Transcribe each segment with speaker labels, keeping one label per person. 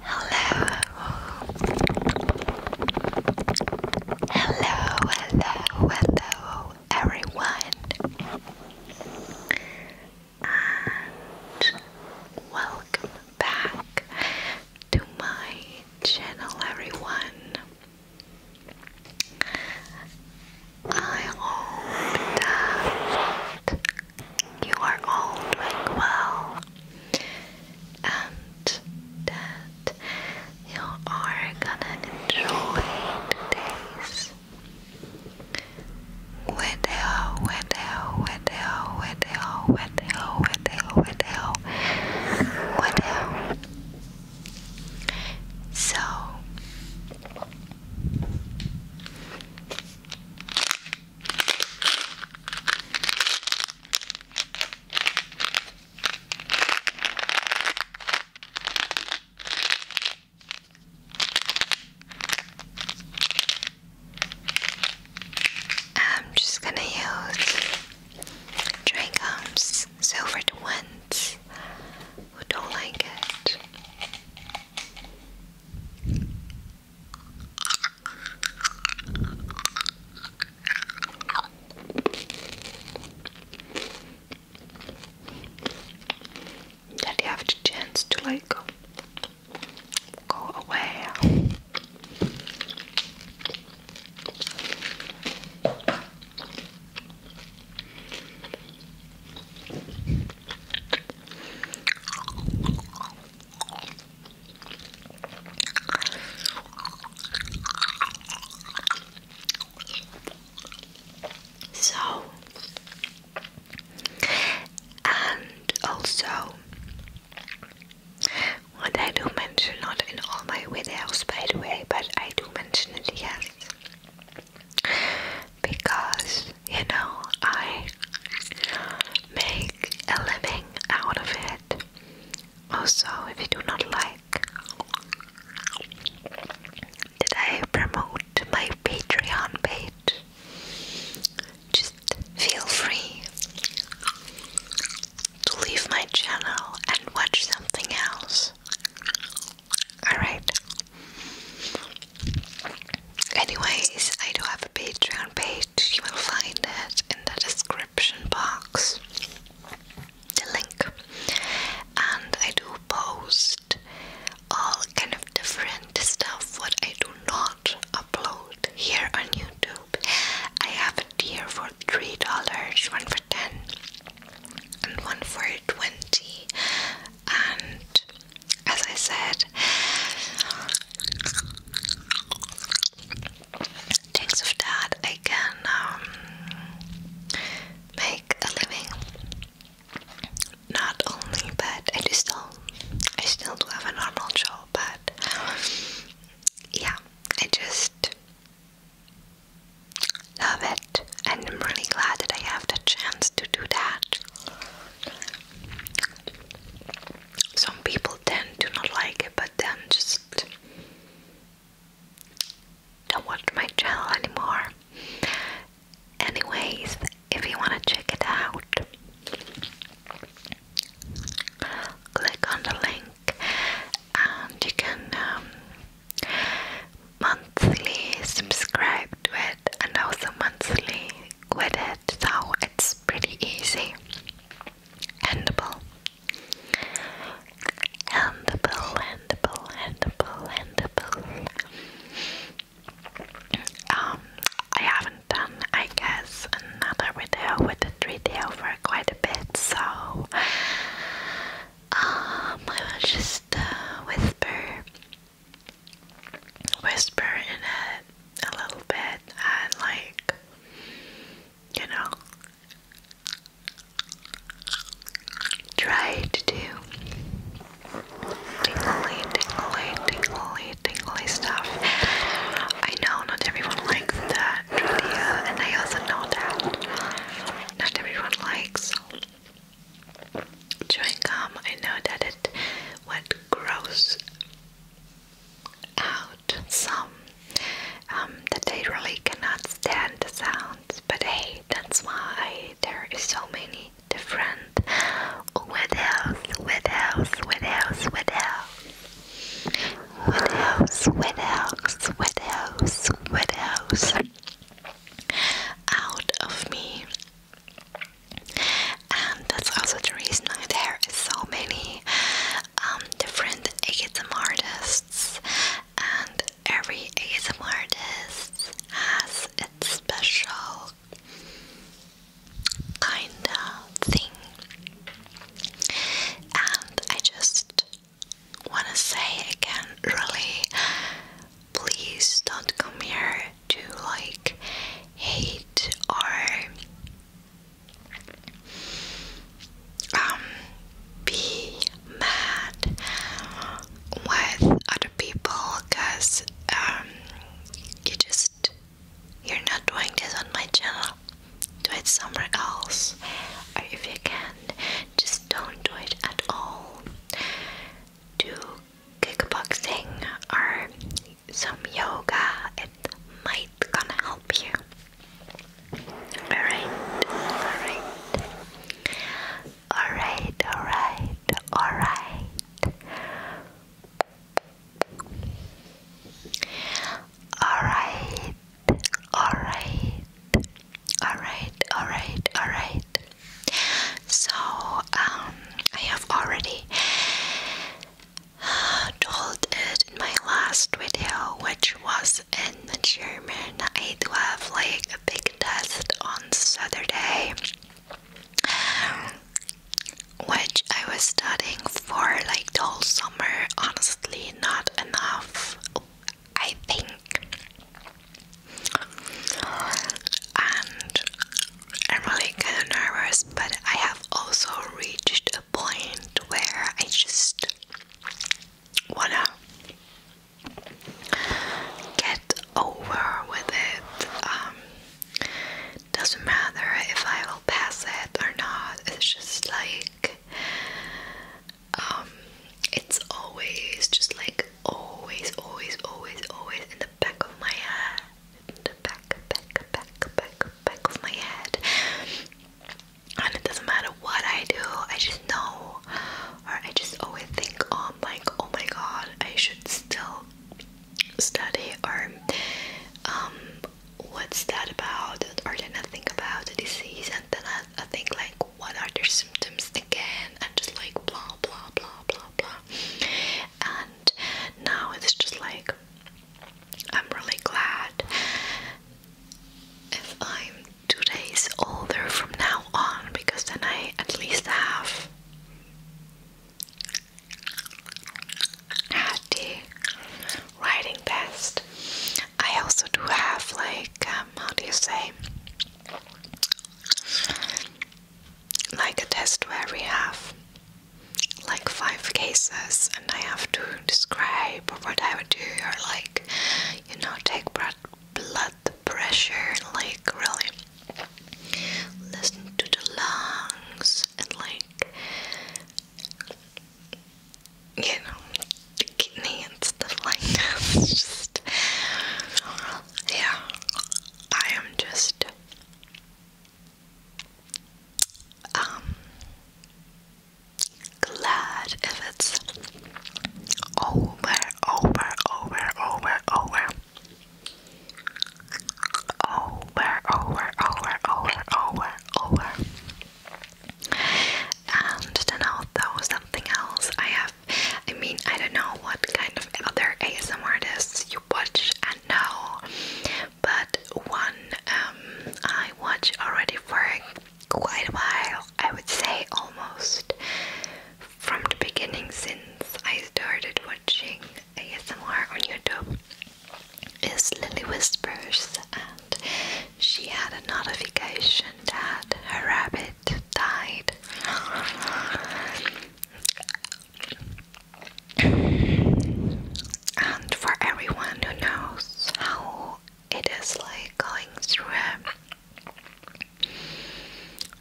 Speaker 1: Hello. Hello, hello, everyone. And welcome back to my channel, everyone. I hope that you are all doing well and that you are gonna enjoy today's video, video, video, video, video, video, video, video. So I'm just gonna use dry gums, silvered ones who don't like it. That you have the chance to like go, go away. So, and also, what I do mention, not in all my videos by the way, but I do mention it, yes, because you know, I make a living out of it. Also, if you do not like did I promote my Patreon page, just feel free to leave my channel and watch something else. Alright. Anyways, I do have a Patreon page, you will find it in the description box. The link. And I do post all kind of different stuff what I do not upload here on YouTube. I have a tier for three dollars, one for ten and one for twenty and as I said. Thanks of that, I can um, make a living. Not only, but I do still, I still do have a normal job, but yeah, I just love it, and I'm really glad that I have the chance to do that some people tend to not like it, but then just don't watch my channel anymore. Anyways, if you want to check it out, click on the link and you can um, monthly subscribe to it it and also monthly with it, so it's pretty easy. Handable, handable, handable, handable, handable. Um, I haven't done, I guess, another video with the three tail for quite a bit, so um, I will just uh, whisper whisper in it a little bit and like you know try to do tingly tingly tingly tingly stuff. I know not everyone likes that Julia, and I also know that not everyone likes Chewing gum, I know that it would gross out some that they really cannot stand the sounds, but hey, that's why there is so many different what else, what else, what else, what else, out of me and that's also the reason why are so many um, different ASM artists and every ASM artist has its special kind of thing and I just wanna say again really please don't come here to like hate or um, be mad with other people because um you just you're not doing this on my channel. Do it somewhere else, or if you can, just don't do it at all. Do kickboxing or some yoga, it might gonna help you. Alright, alright. Alright, alright, alright. Alright, alright. Alright, alright, alright. So, um, I have already told it in my last video, which was in German. I do have like a big test on Saturday, which I was studying for like all summer. Honestly, not enough, I think. And I'm really kind of nervous, but I have also reached a point where I just wanna get over with it. Um, doesn't matter if I will pass it or not, it's just like um, it's always just like always, always, always, always in the back of my head back, back, back, back, back of my head. And it doesn't matter what I do, I just know, or I just always think, oh, like, oh my god, I should still study, or um, what's that about? Or then I think about the disease, and then I, think like, what are their symptoms again? And just like blah blah blah blah blah. And now it's just like I'm really glad if I'm two days older from now on because then I at least have had the writing best. I also do have like um, how do you say like a test where we have like five cases and I have to describe what I would do or like you know take blood pressure like really listen to the lungs and like you know the kidney and stuff like that yeah I am just um, glad if it's over, over, over, over, over. Over, over, over, over, over, over. And then although something else I have I mean I don't know what kind of other ASMR artists you watch and know but one um, I watch already for quite a while. I would say almost from the beginning since I started watching ASMR on YouTube is Lily Whispers and she had a notification that her rabbit died and for everyone who knows how it is like going through a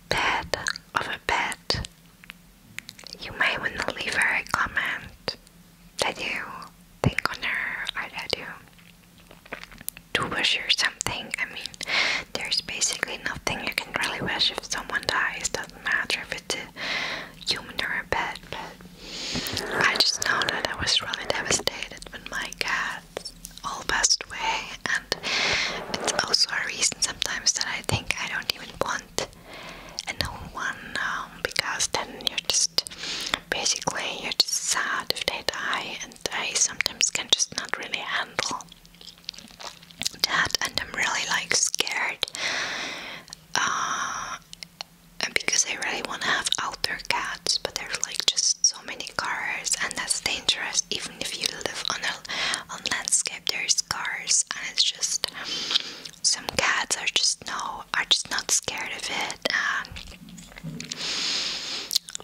Speaker 1: bed of a bed, you may want to leave her a comment that you think on her or that you do wish her something. I mean, there's basically nothing you can really wish if someone dies, doesn't matter if it's human or a but I just know that I was really devastated when my cats all passed away, and it's also a reason sometimes that I think I don't even want another one um, because then you're just basically you're just sad if they die, and I sometimes can just not really handle that, and I'm really like scared uh, because I really want to have outdoor cats, but there's like just so many cars, and that's dangerous. Even if you live on a on landscape, there's cars, and it's just some cats are just no, are just not scared of it.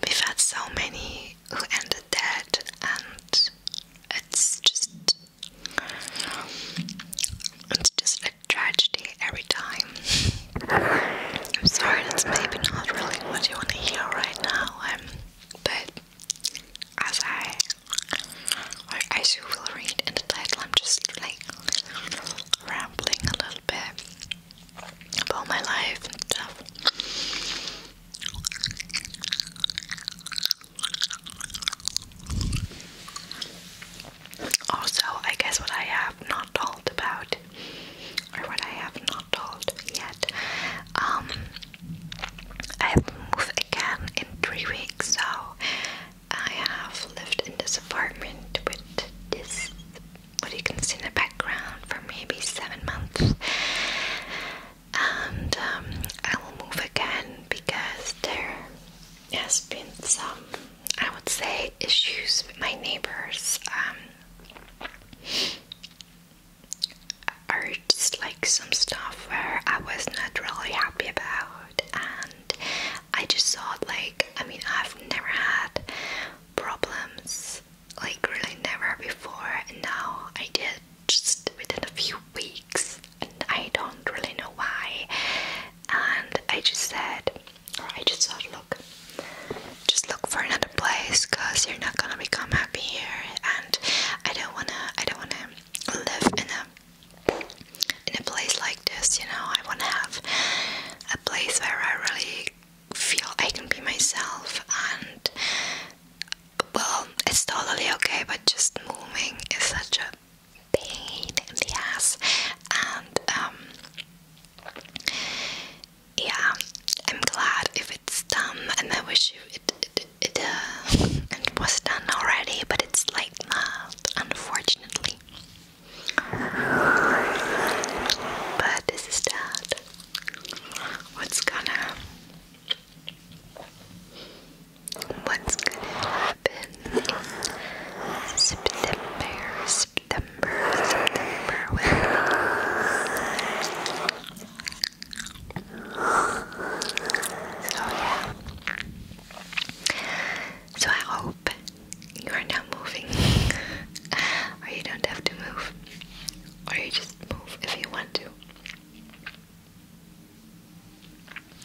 Speaker 1: we've had so many who ended dead, and it's just it's just a tragedy every time. I'm sorry, that's maybe not really what you want to hear right now, um, but as I, as you will read in the title, I'm just like rambling a little bit about my life and stuff. Also, I guess what I have not told about, or what I have not told yet, um, I move again in three weeks, so I have lived in this apartment with this, what you can see in the background, for maybe seven months. And um, I will move again because there has been some, I would say, issues with my neighbors. Um, are just like some stuff where I was not really happy about, and I just thought, like, I mean, I've never had problems like really never before, and now I did just within a few weeks, and I don't really know why. And I just said, or I just thought, look, just look for another place, cause you're not gonna become happy here. And I don't wanna, I don't wanna live in a in a place like this. You know, I wanna have a place where I really feel I can be myself and. Well, it's totally okay, but just moving is such a pain in the ass and um yeah I'm glad if it's done and I wish it it, it, uh, it was done already but it's like not unfortunately but this is that what's gonna what's gonna happen September, September, September So oh, yeah. So I hope you are not moving or you don't have to move or you just move if you want to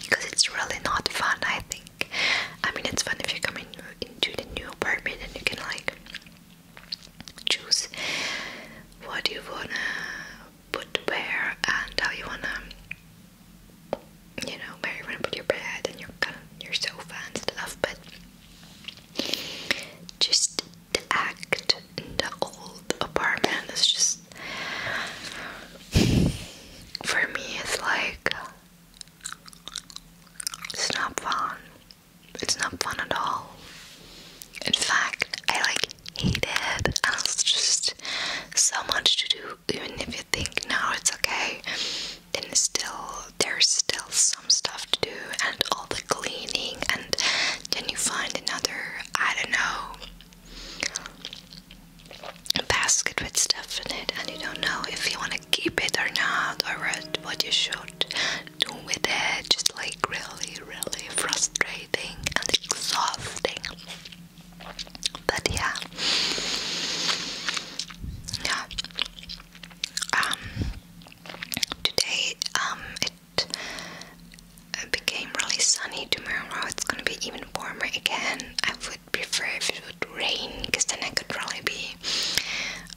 Speaker 1: because it's really not fun I think I mean it's fun if you come in, into the new apartment and you can like choose what you wanna put where and how you wanna you know where you wanna put your bed and your your sofa and stuff but just the act in the old apartment is just for me it's like it's not fun. It's not fun at all. In fact, I like hate it. And it's just so much to do. Even if you think now it's okay, then still there's still some stuff to do and all the cleaning and can you find another I don't know basket with stuff in it and you don't know if you want to keep it or not or what, you should do with it just like really really frustrating and exhausting but yeah yeah um today um it became really sunny tomorrow it's gonna be even warmer again I prefer if it would rain because then I could probably be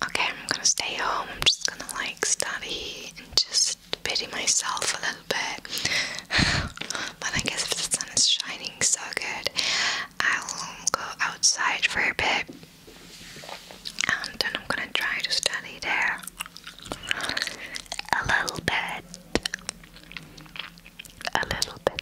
Speaker 1: okay. I'm gonna stay home, I'm just gonna like study and just pity myself a little bit. but I guess if the sun is shining so good, I'll go outside for a bit and then I'm gonna try to study there a little bit. A little bit.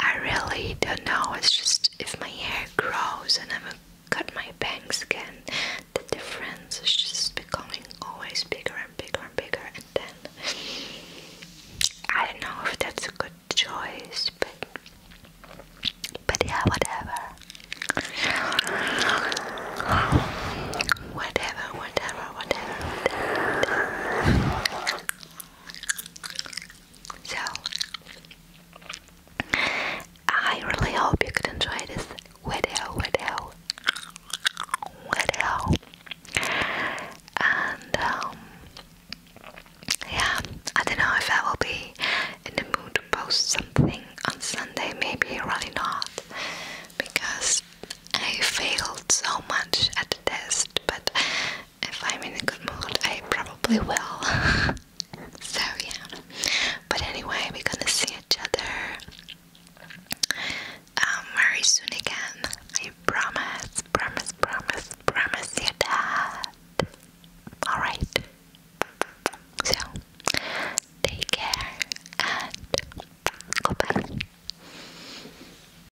Speaker 1: I really don't know, it's just if my hair grows and I'm cut my bangs again, the difference is just becoming always bigger and bigger and bigger and then I don't know if that's a good choice but but yeah whatever Whatever, whatever, whatever, whatever. So, I really hope you could enjoy this video, video, video. And, um, yeah, I don't know if I will be in the mood to post something on Sunday, maybe really not, because I failed so much at the test, but if I'm in a good mood, I probably will. so, yeah. But anyway, we're gonna see each other um, very soon again. I promise, promise, promise, promise you that. Alright. So, take care and goodbye.